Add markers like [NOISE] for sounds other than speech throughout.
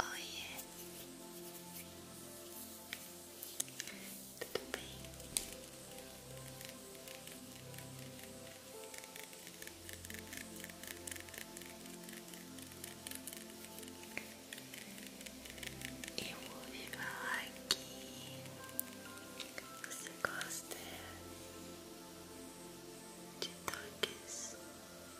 Oh Tudo bem? Eu ouvi falar que você gosta de toques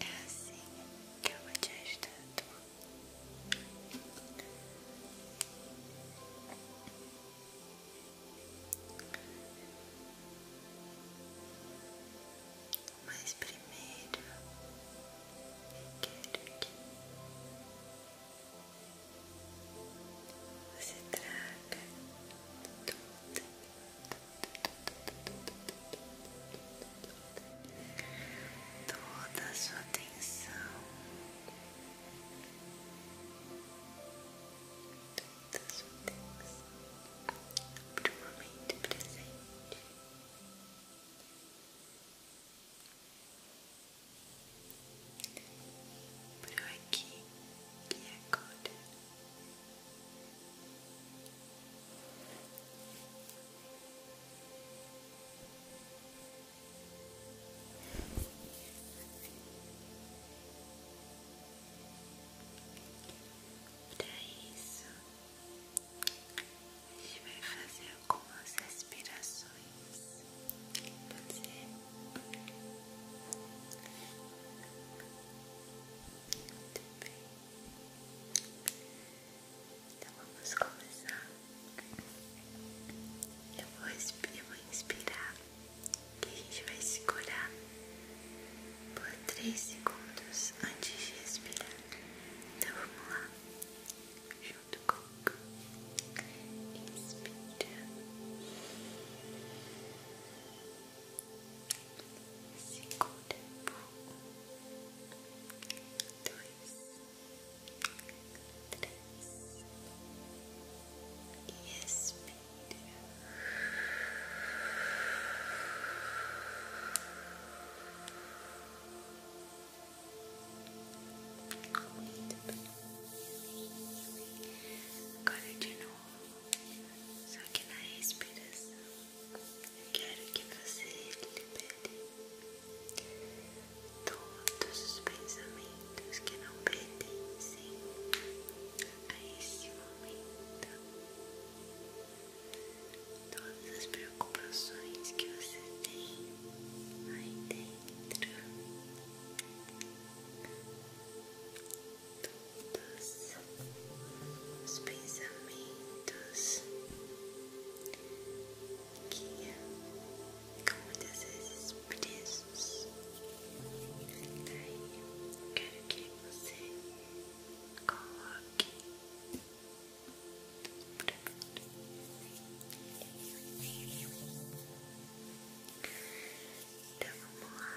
É assim que eu vou te ajudando. Mas primeiro quero que você traga tudo, tudo, toda sua atenção toda sua atenção para o momento presente para aqui e agora para isso, a gente vai fazer algumas respirações. Pode ser? Muito bem. Então vamos começar. Eu vou, eu vou inspirar e a gente vai se segurar por 3 segundos antes de expirar. Então vamos lá, junto com inspira, segura por um, dois, três e expira. Muito bem. Agora de novo, só que na respiração quero que você libere todos os pensamentos que não pertencem a esse momento, todas as preocupações que você tem aí dentro. Todos os pensamentos guia como desejos presos. eu quero que você coloque pra mim. Então vamos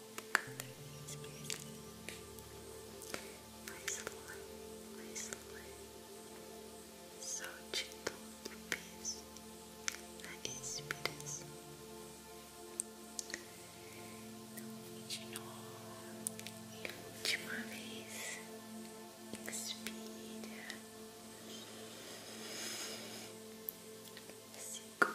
outra vez mesmo. Mais lá, mais lá. Solte todo o peso na expiração. Então, de novo, e última vez. Inspira. Segura. Solta.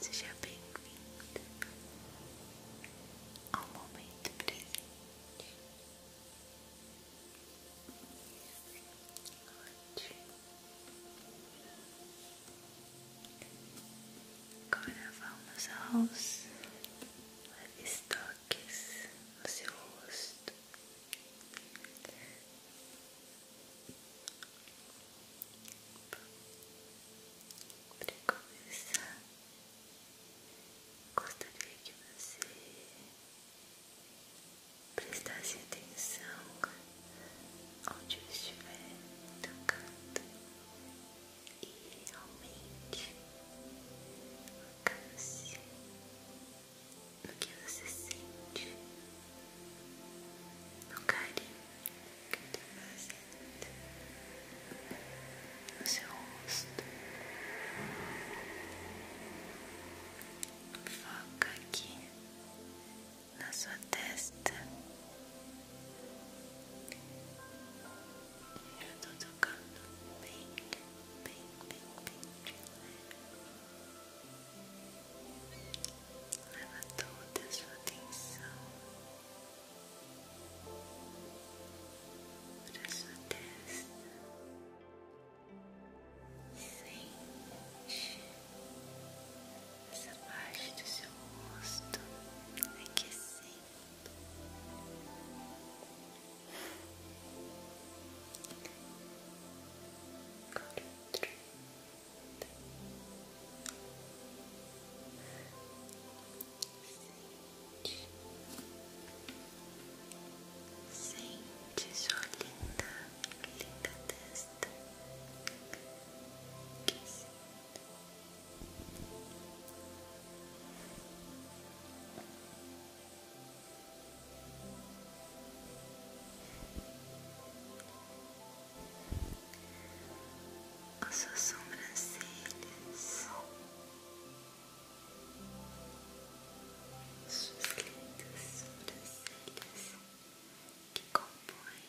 Seja bem vindo ao momento presente. Ótimo. Agora vamos aos estoques no seu rosto. Para começar, gostaria que você prestasse atenção onde eu estiver tocando e realmente alcance no que você sente, no carinho no seu rosto. Foca aqui na sua testa. Eu tô tocando bem, bem, bem, bem. Leva toda a sua atenção para sua testa. Sente essa parte do seu rosto aquecendo. Quarenta, Sente sua linda, linda testa as suas sobrancelhas, suas lindas sobrancelhas que compõem,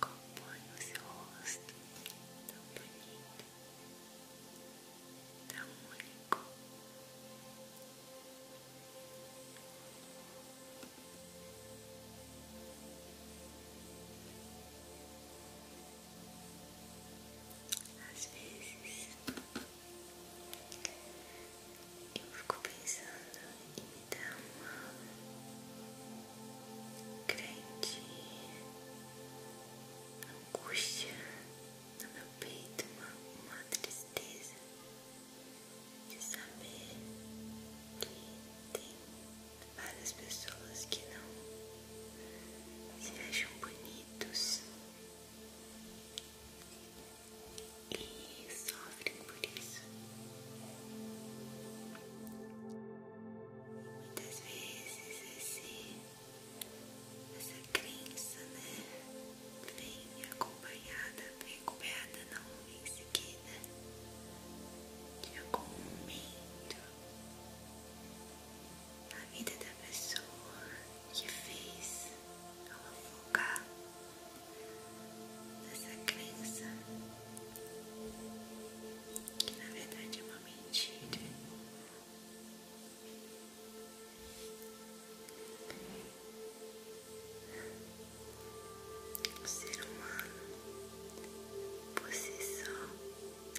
compõem o seu rosto tão bonito, tão único. Às vezes eu fico pensando em me dar uma grande angústia no meu peito, uma tristeza de saber que tem várias pessoas que não se acham bonitos e sofrem por isso. Muitas vezes esse, essa crença, né, vem acompanhada, vem acompanhada não em seguida, em é algum momento, né? a vida da pessoa que fez ela focar nessa crença que na verdade é uma mentira. O ser humano por si só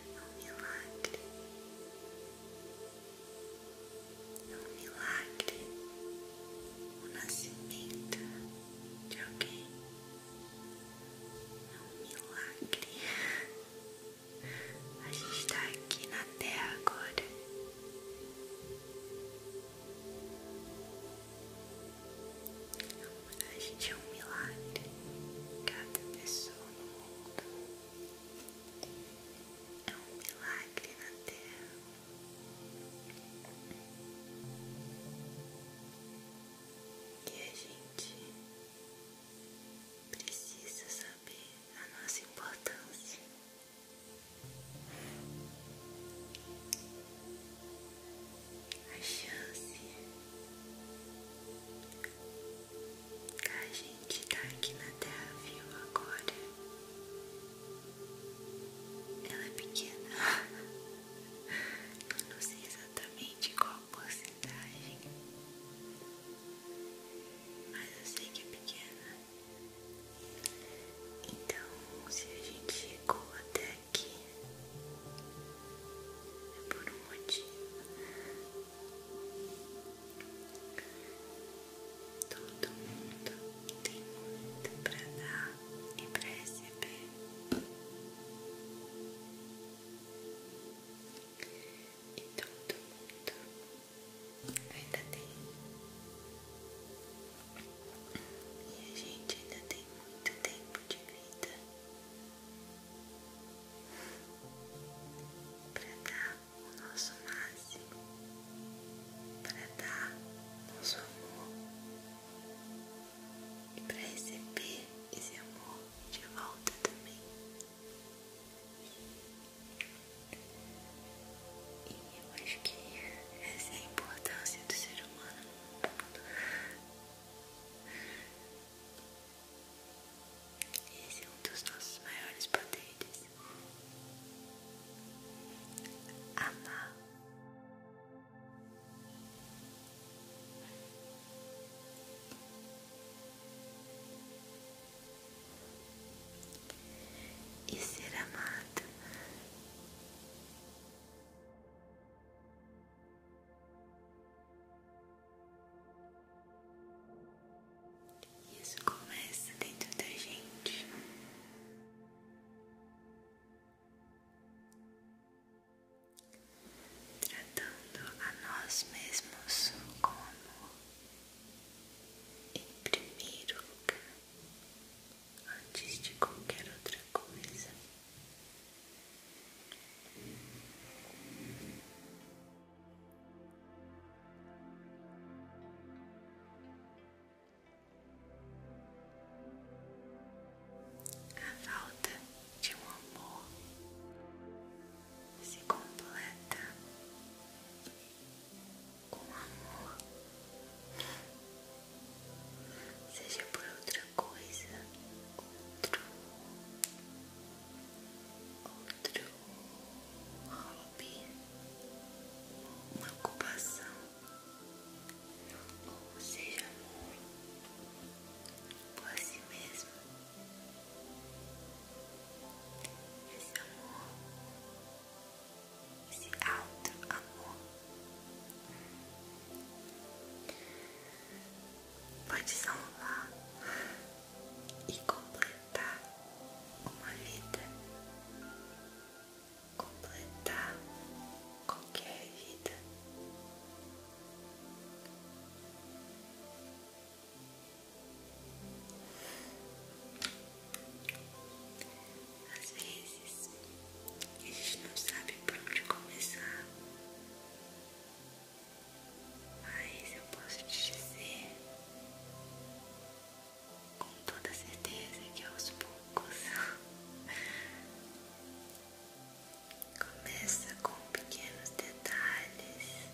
é um milagre. É um milagre o nascimento de alguém. É um milagre. A gente está aqui na Terra agora. A coragem é um milagre. Cada pessoa no mundo é um milagre na Terra. E a gente precisa saber a nossa importância a chance da gente estar tá aqui na Terra viu agora. Ela é pequena. Eu não sei exatamente qual a porcentagem, mas eu sei que é pequena. Então, se a gente chegou até aqui é por um motivo. Todo mundo tem muito pra dar e pra receber. E todo mundo ainda tem. E a gente ainda tem muito tempo de vida para dar o nosso máximo, para dar nosso amor e para receber esse amor de volta também. E eu acho que essa é a importância do ser humano no mundo. Esse é um dos nossos maiores poderes. Amar. E ser amado isso começa dentro da gente. Tratando a nós mesmos como, em primeiro lugar, antes de qualquer outra coisa. A falta de um amor se completa com amor seja por outra coisa, outro, outro hobby, uma ocupação, ou seja amor por si mesmo. Esse amor, esse alto amor Pode salvar e completar uma vida, completar qualquer vida. Às vezes que a gente não sabe por onde começar, mas eu posso te dizer com toda certeza que aos poucos [LAUGHS] começa com pequenos detalhes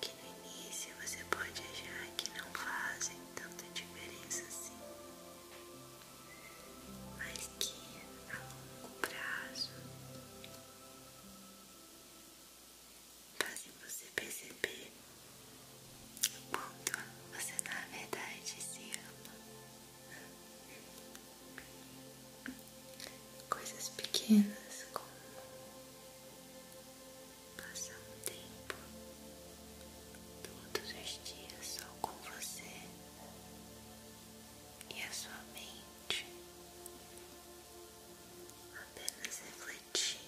que no início você pode achar que não fazem tanta diferença assim mas que a longo prazo fazem você perceber o quanto você na verdade se ama. Coisas pequenas como passar um tempo todos os dias só com você e a sua mente apenas refletindo,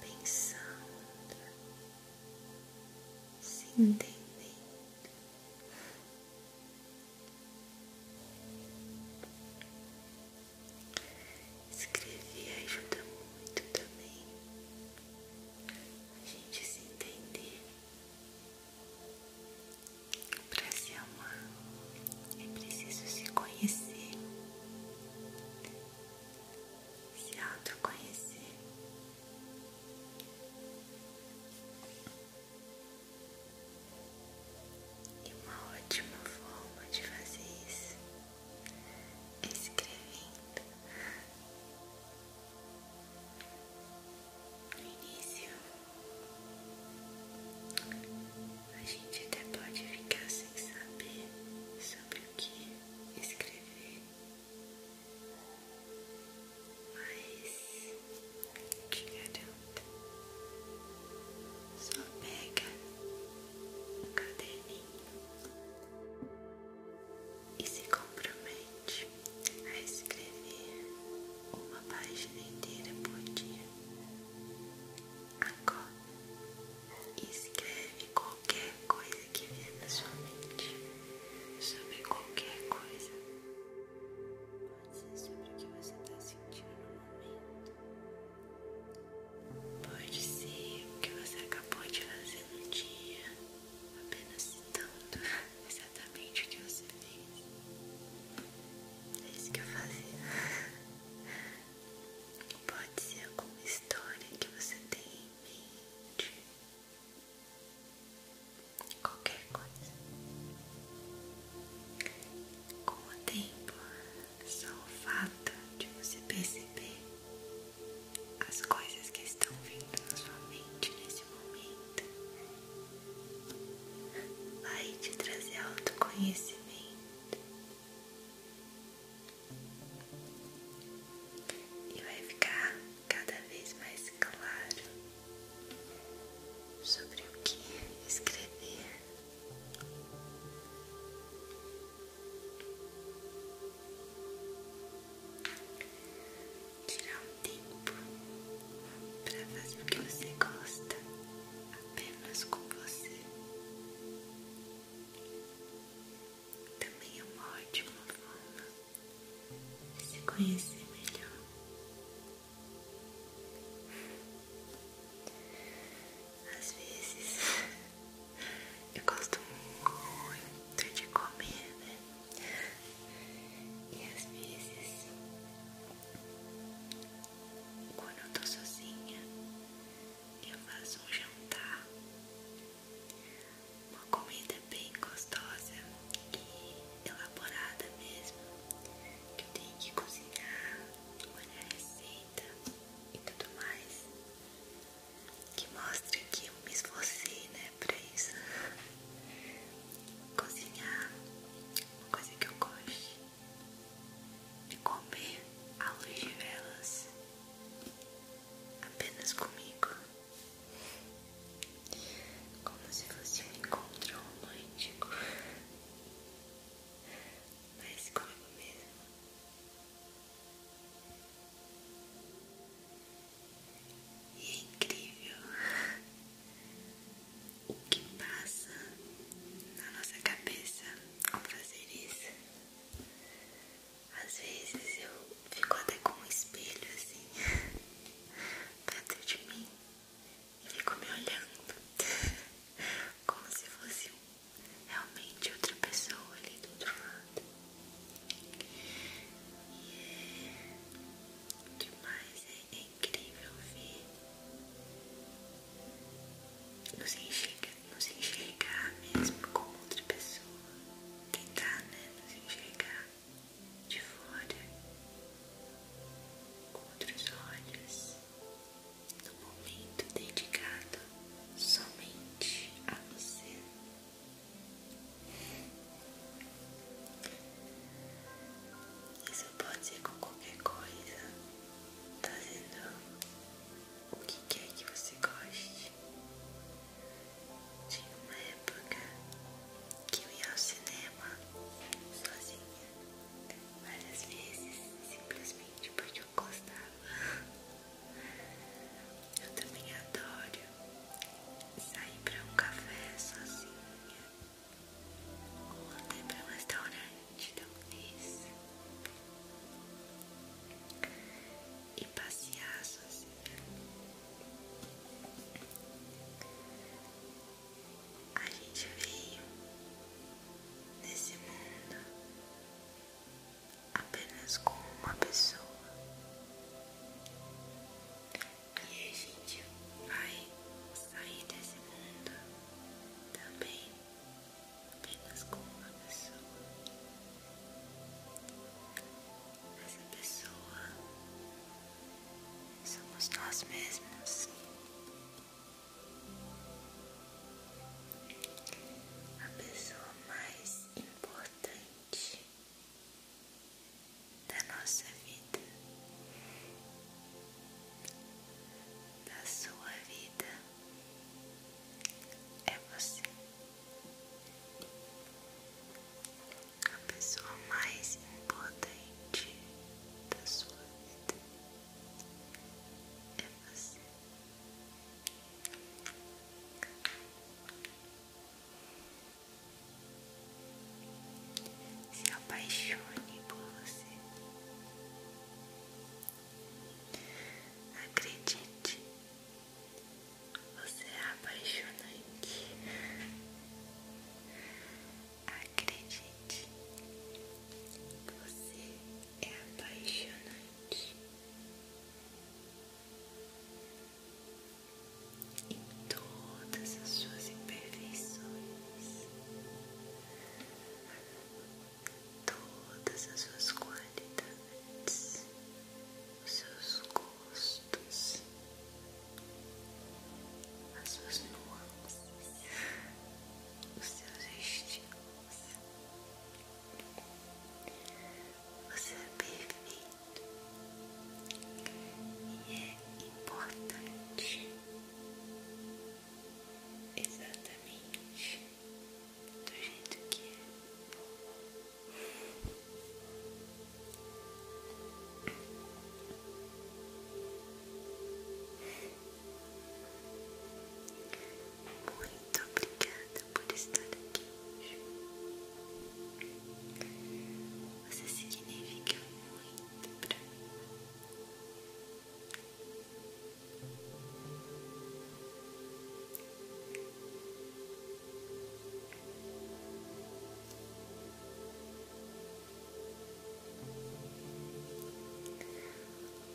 pensando, se entendendo. Escrever ajuda muito também a gente se entender, para se amar é preciso se conhecer, se autoconhecer. E uma ótima forma de fazer isso escrevendo no início. A gente até pode ficar sem saber sobre o que escrever, mas te garanto, só pega o caderninho e se compromete a escrever uma página inteira por dia. Agora, escreve qualquer coisa que vier na sua mente sobre qualquer coisa. Pode ser sobre o que você está sentindo no momento. Pode ser o que você acabou de fazer no dia apenas citando exatamente o que você fez. É isso que eu fazia. Pode ser alguma história que você tem em mente. Qualquer coisa. Com o tempo, só o fato de você perceber as coisas que estão vindo na sua mente nesse momento. Vai te trazer autoconhecimento e vai ficar cada vez mais claro sobre o que escrever. Tirar um tempo para fazer o que você gosta apenas com você também é uma ótima forma de se conhecer melhor. Às vezes eu gosto muito de comer, né? E às vezes, quando eu tô sozinha, eu faço um jantar, uma comida bem gostosa e elaborada mesmo, que eu tenho que cozinhar, olhar a receita e tudo mais que mostre que eu me esforcei, né, pra isso. Cozinhar, uma coisa que eu gosto, de comer à luz de velas, apenas comigo, como se fosse um encontro romântico, mas comigo mesmo. E é incrível o que passa na nossa cabeça ao fazer isso. Às vezes eu fico até com um espelho assim [LAUGHS] perto de mim e fico me olhando [LAUGHS] como se fosse realmente outra pessoa ali do outro lado. Demais, é, é incrível ver. Nos enxergar, nos enxergar mesmo com outra pessoa. Tentar, né? Nos enxergar de fora. Com outros olhos. No momento dedicado somente a você. Isso pode ser com qualquer coisa, tá vendo? o que quer que você goste. Tinha uma época que eu ia ao cinema sozinha, várias vezes, simplesmente porque eu gostava. Eu também adoro sair pra um café sozinha ou até pra um restaurante, talvez, e passear sozinha. A gente veio nesse mundo apenas com uma pessoa. E a gente vai sair desse mundo também apenas com uma pessoa. Essa pessoa somos nós mesmos. A pessoa mais importante da nossa vida, da sua vida é você, a pessoa mais importante da sua vida é você. Se apaixone por você. Acredite, você é apaixonante. Acredite, você é apaixonante em todas as suas imperfeições, todas as suas qualidades, os seus gostos, as suas nuances, os seus estilos. Você é perfeito e é importante exatamente do jeito que é. Muito obrigada grata por estar aqui hoje. Você significa muito pra mim.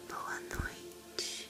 Boa noite.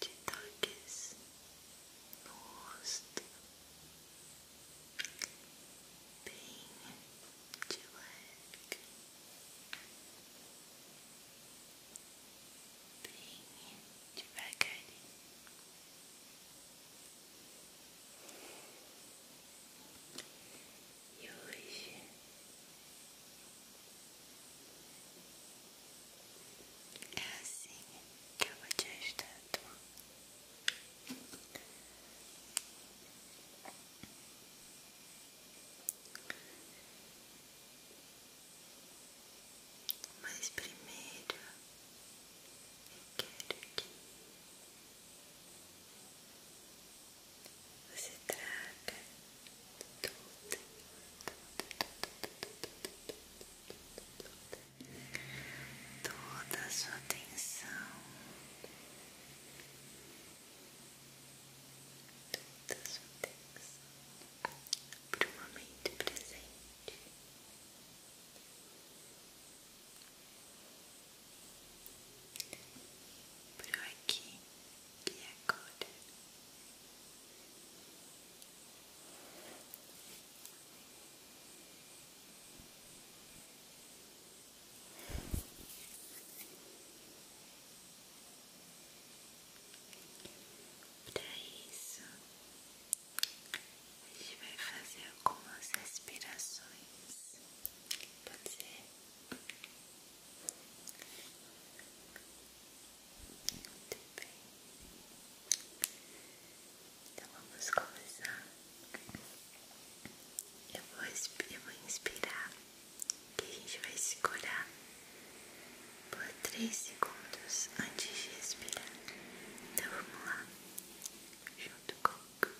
de toques no rosto, bem de leve, bem devagarinho. E É assim que eu vou te ajudando. Mas primeiro eu quero que você traga toda, a sua atenção, toda a sua atenção para o momento presente. para aqui, be a para isso, a gente vai fazer algumas respirações. Muito bem. Então vamos começar. Eu vou, eu vou inspirar e a gente vai segurar por 3 segundos antes de expirar. Então vamos lá. Junto comigo.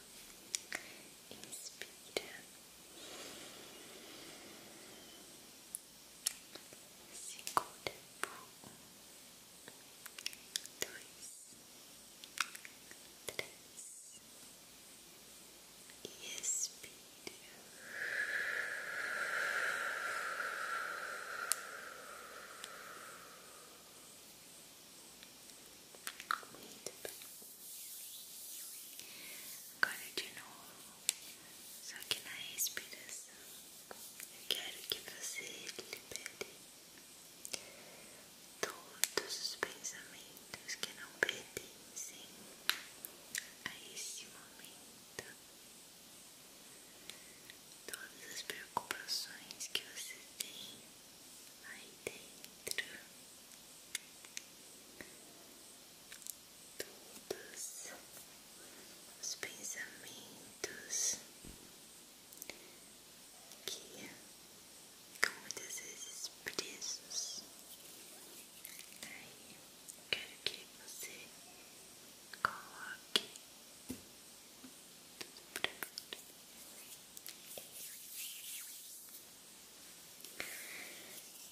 Inspira. Expira segura por um, dois, três e expira. Muito bem. Agora de novo. Só que na respiração eu quero que você libere todos os pensamentos que não pertencem a esse momento, todas as preocupações que você tem aí dentro todos os pensamentos que muitas vezes presos. eu quero que você coloque tudo pra fora.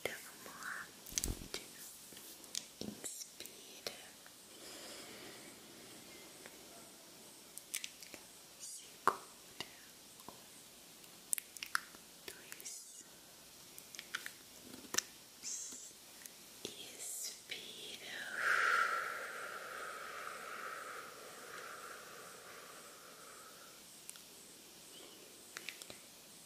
Então vamos lá. Inspira.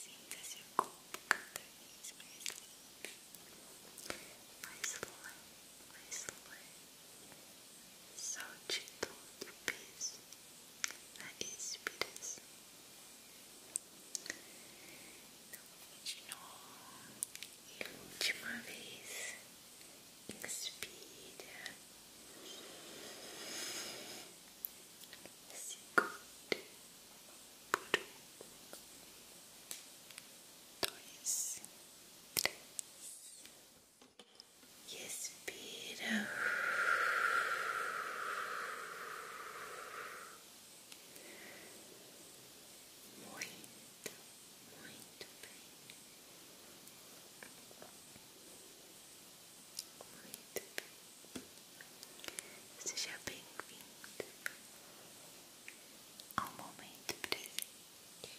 Sinta seu corpo cada vez mais livre, mais leve, mais leve. Solte todo o peso na expiração. Então, de novo e última vez, segure por um, dois, e expira. Muito, muito bem. Seja bem-vindo ao momento presente.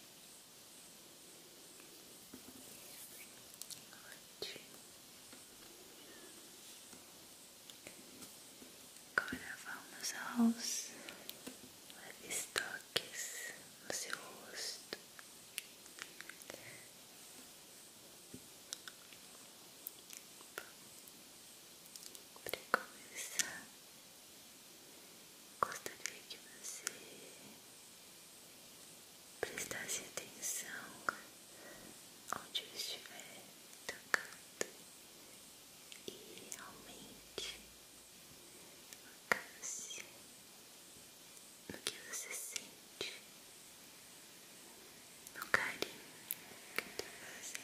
Agora vamos aos leves toques no seu rosto. Para começar, gostaria que você prestasse atenção onde eu estiver tocando e realmente a o que você sente no carinho que eu tô tá fazendo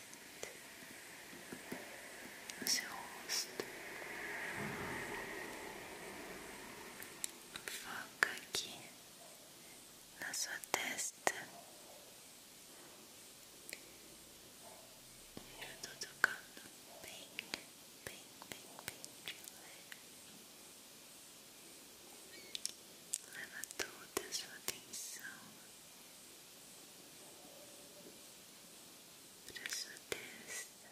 no seu rosto. Foca aqui na sua testa. Eu tô tocando bem, bem, bem, bem de leve. Leva toda sua atenção para sua testa.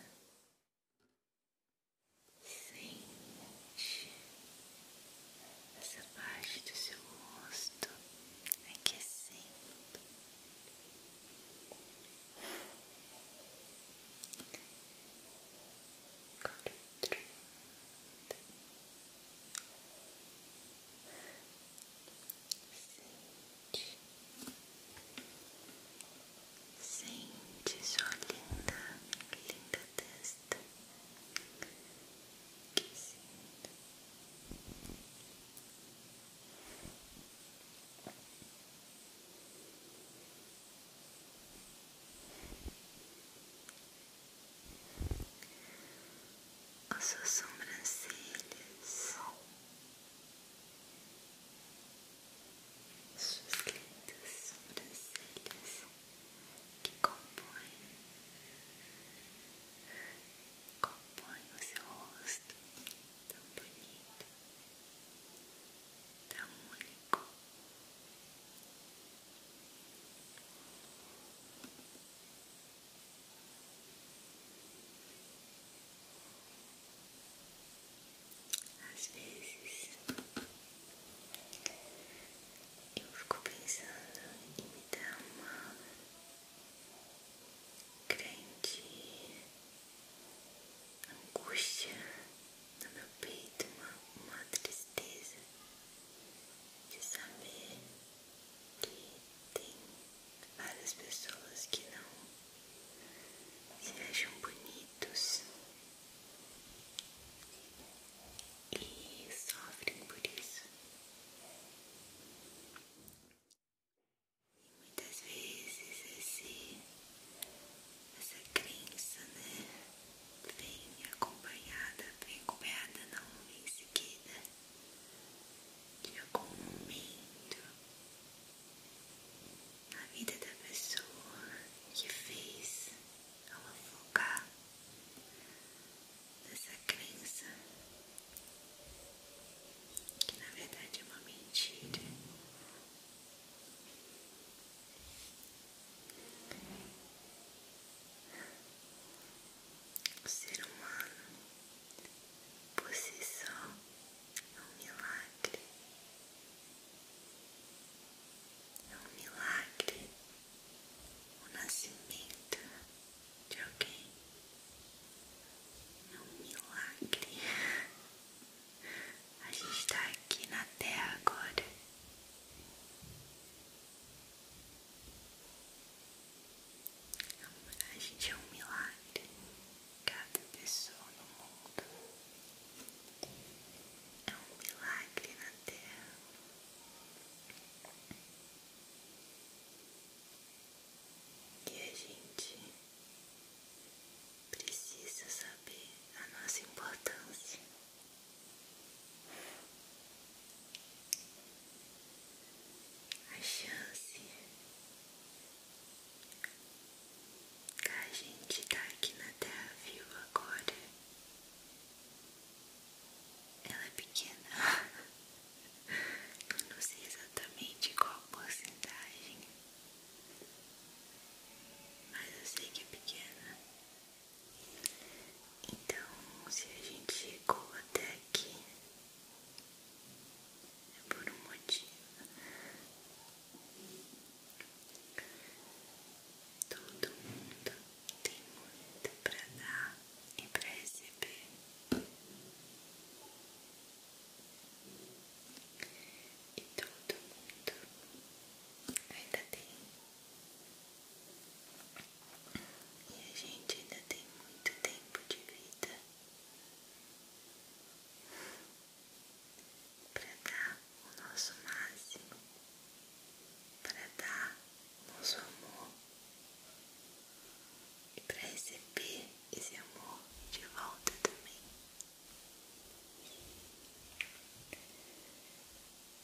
Sente essa parte do seu rosto aquecendo dentro. Sente. Sente sua linda, linda testa. Que sinta as suas sobrancelhas, suas lindas sobrancelhas que compõem, compõem o seu rosto tão bonito, tão único. Às vezes eu fico pensando em me dar uma grande angústia no meu peito uma, uma tristeza de saber que tem várias pessoas que não se acham bonitos e sofrem por isso. E muitas vezes esse essa crença, né? Vem acompanhada, vem acompanhada não em seguida de algum momento na vida da pessoa que fez ao focar nessa crença que na verdade é uma mentira o ser humano por si só é um milagre. É um milagre o nascimento de alguém. É um milagre. A gente está aqui na Terra agora a gente é um milagre. Cada pessoa no mundo é um milagre na Terra. E a gente precisa saber a nossa importância a chance da gente estar tá aqui na Terra viva agora. Ela é pequena. Eu não sei exatamente qual a porcentagem, mas eu sei que é pequena. Então, se a gente chegou até aqui, é por um motivo. Todo mundo tem muito para dar e para receber. E todo mundo ainda tem e a gente ainda tem muito tempo de vida para dar o nosso máximo, para dar o nosso amor e para receber esse amor de volta também.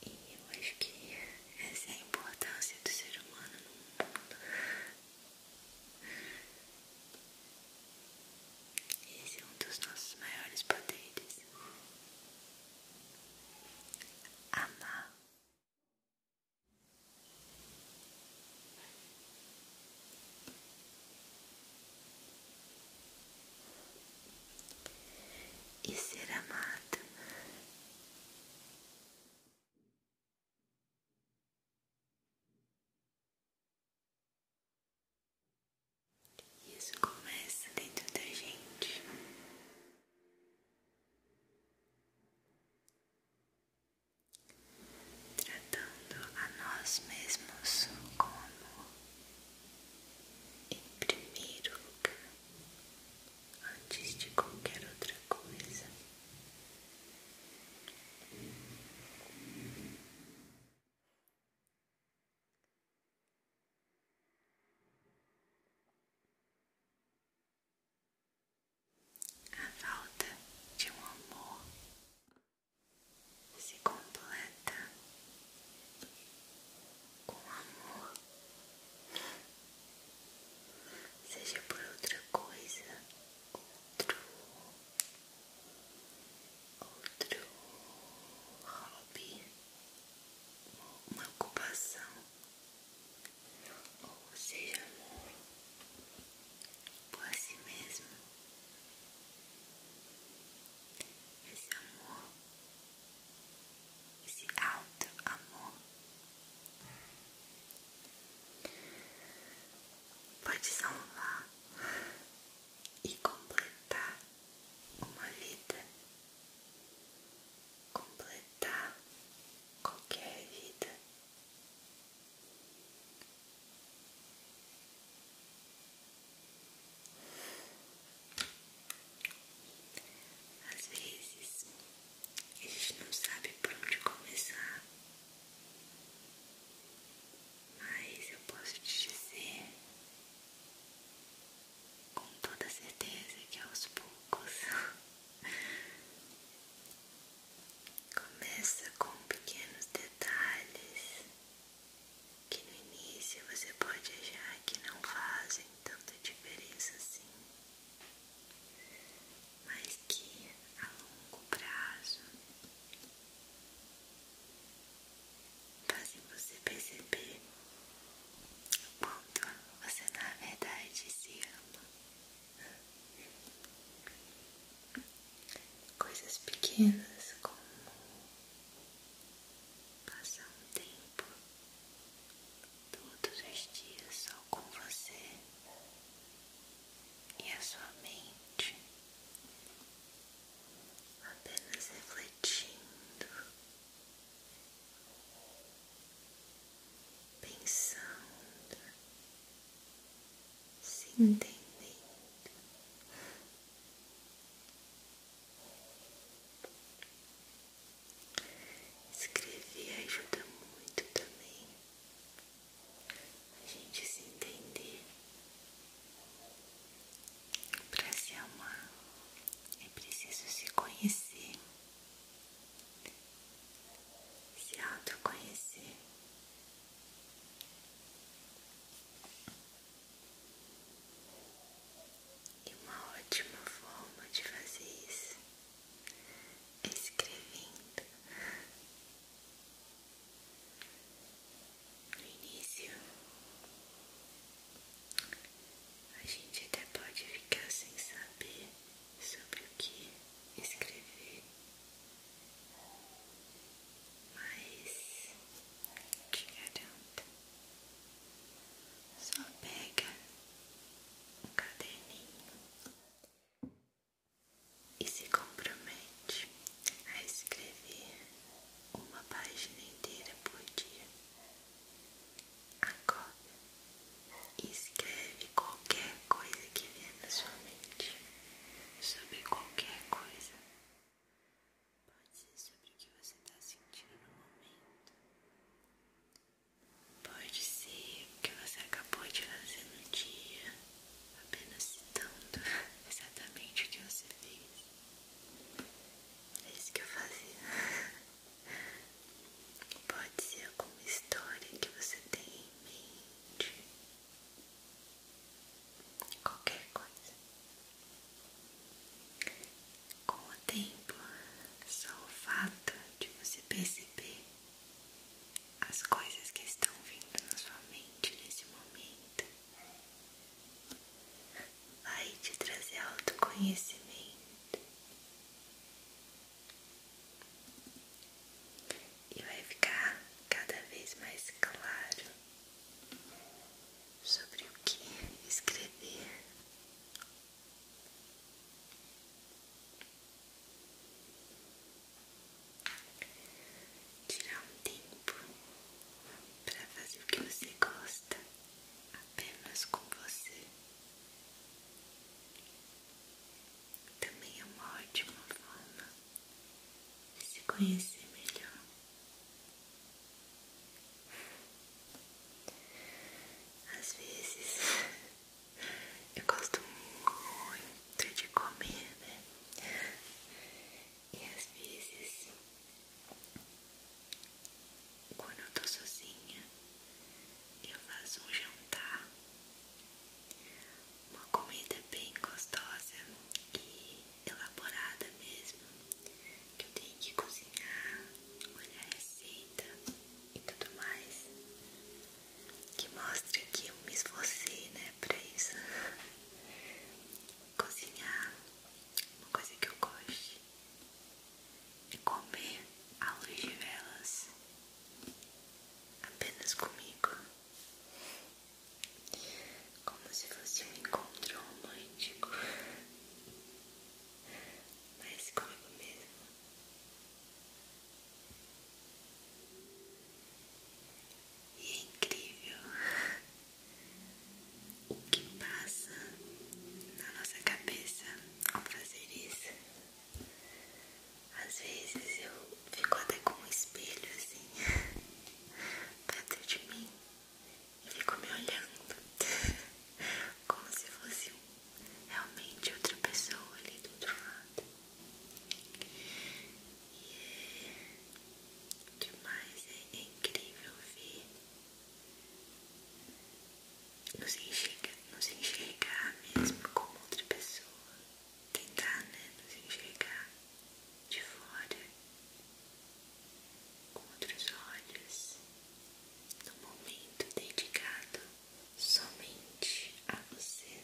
E eu acho que essa é a importância do ser humano no mundo. Esse é um dos nossos maiores poderes. Amar e ser amado. Isso começa dentro da gente. Tratando a nós mesmos como em primeiro lugar, antes de qualquer outra coisa, a falta de um amor se completa com amor, seja por outra coisa, outro, outro hobby, uma ocupação, ou seja, por si mesmo. Esse amor esse alto amor. Pode salvar e completar uma vida, completar qualquer vida. Às vezes a gente não sabe por onde começar, mas eu posso te dizer com toda certeza que aos poucos [LAUGHS] começa com pequenos detalhes que no início você pode achar que não fazem tanta diferença assim, mas que a longo prazo fazem você perceber o quanto você na verdade se ama. Coisas pequenas como passar um tempo todos os dias só com você e a sua mente, apenas refletindo, pensando, se entendendo. Escrever ajuda muito também a gente se entender. Para se amar é preciso se conhecer, se autoconhecer. E uma ótima forma de fazer isso é escrevendo. No início, a gente até pode ficar sem saber sobre o que escrever, mas te garanto só pega um caderninho e se compromete a escrever uma página inteira por dia. Agora escreve qualquer coisa que vier na sua mente sobre qualquer coisa. Pode ser sobre o que você está sentindo no momento. Pode ser que você acabou de fazer no dia, apenas citando exatamente o que você fez. É isso que eu fazia. Pode ser alguma história que você tem em mente. Qualquer coisa. Com o tempo, só o fato de você perceber as coisas que estão vindo na sua mente nesse momento vai te trazer autoconhecimento e vai ficar cada vez mais claro sobre o que escrever Tirar um tempo para fazer o que você gosta apenas com você também é uma ótima forma de se conhecer melhor. Às vezes eu gosto muito de comer, né? E às vezes quando eu tô sozinha, eu faço um jantar, uma comida bem gostosa e elaborada mesmo que eu tenho que cozinhar, olhar a receita e tudo mais. Que mostre que eu me esforcei, né, pra isso. Cozinhar, uma coisa que eu gosto, e é comer à luz de velas, apenas comigo, como se fosse um encontro romântico mas comigo é mesmo. E é incrível o que passa na nossa cabeça ao fazer isso. Às vezes eu fico até com um espelho assim [LAUGHS] perto de mim e fico me olhando [LAUGHS] como se fosse um realmente outra pessoa ali do outro lado. E é demais, é, incrível ver. Nos enxergar, nos enxergar mesmo como outra pessoa. Tentar, tá, né? Nos enxergar de fora com outros olhos num momento dedicado somente a você.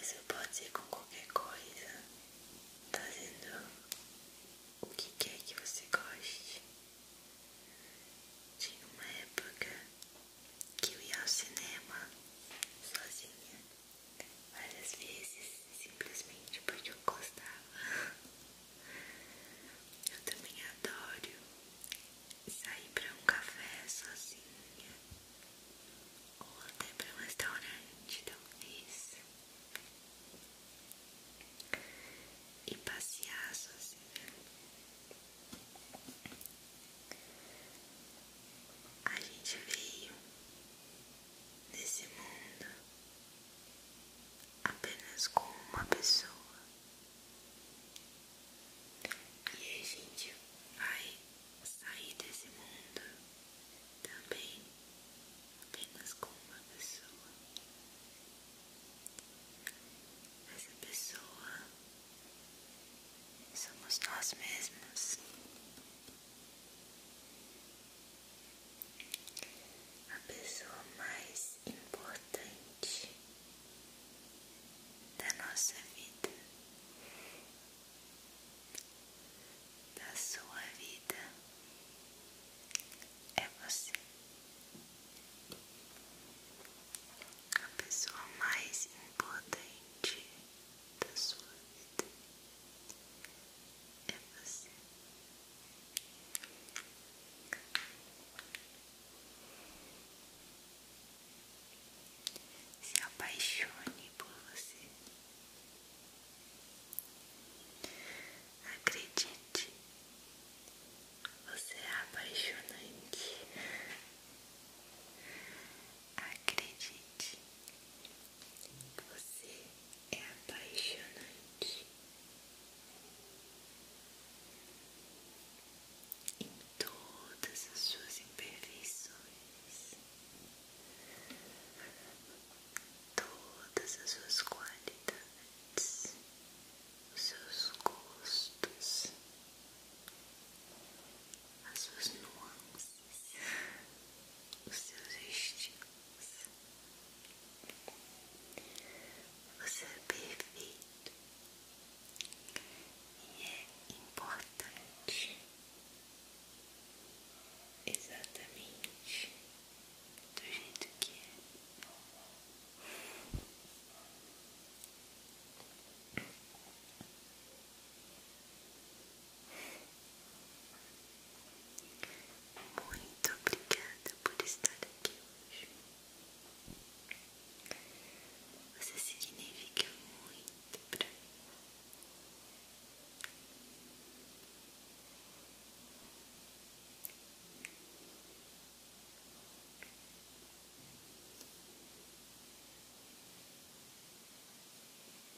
Isso pode ser com qualquer coisa, fazendo o que quer que você goste. Tinha uma época que eu ia ao cinema sozinha várias vezes simplesmente porque eu gostava. Eu também adoro sair para um café sozinha ou até para um restaurante, talvez, e passear sozinha. A gente veio nesse mundo apenas com uma pessoa. E a gente vai sair desse mundo também apenas com uma pessoa. Essa pessoa somos nós mesmos a pessoa mais importante da nossa vida, da sua vida, é você. A pessoa mais importante da sua vida é você. Se apaixone por você. Acredite, você é apaixonante. Acredite, você é apaixonante. Em todas as suas imperfeições, todas as suas qualidades, os seus gostos, as suas nuances os seus instintos. Você é perfeito e é importante exatamente do jeito que é. Muito obrigada por estar aqui hoje. Você significa muito pra mim. Muito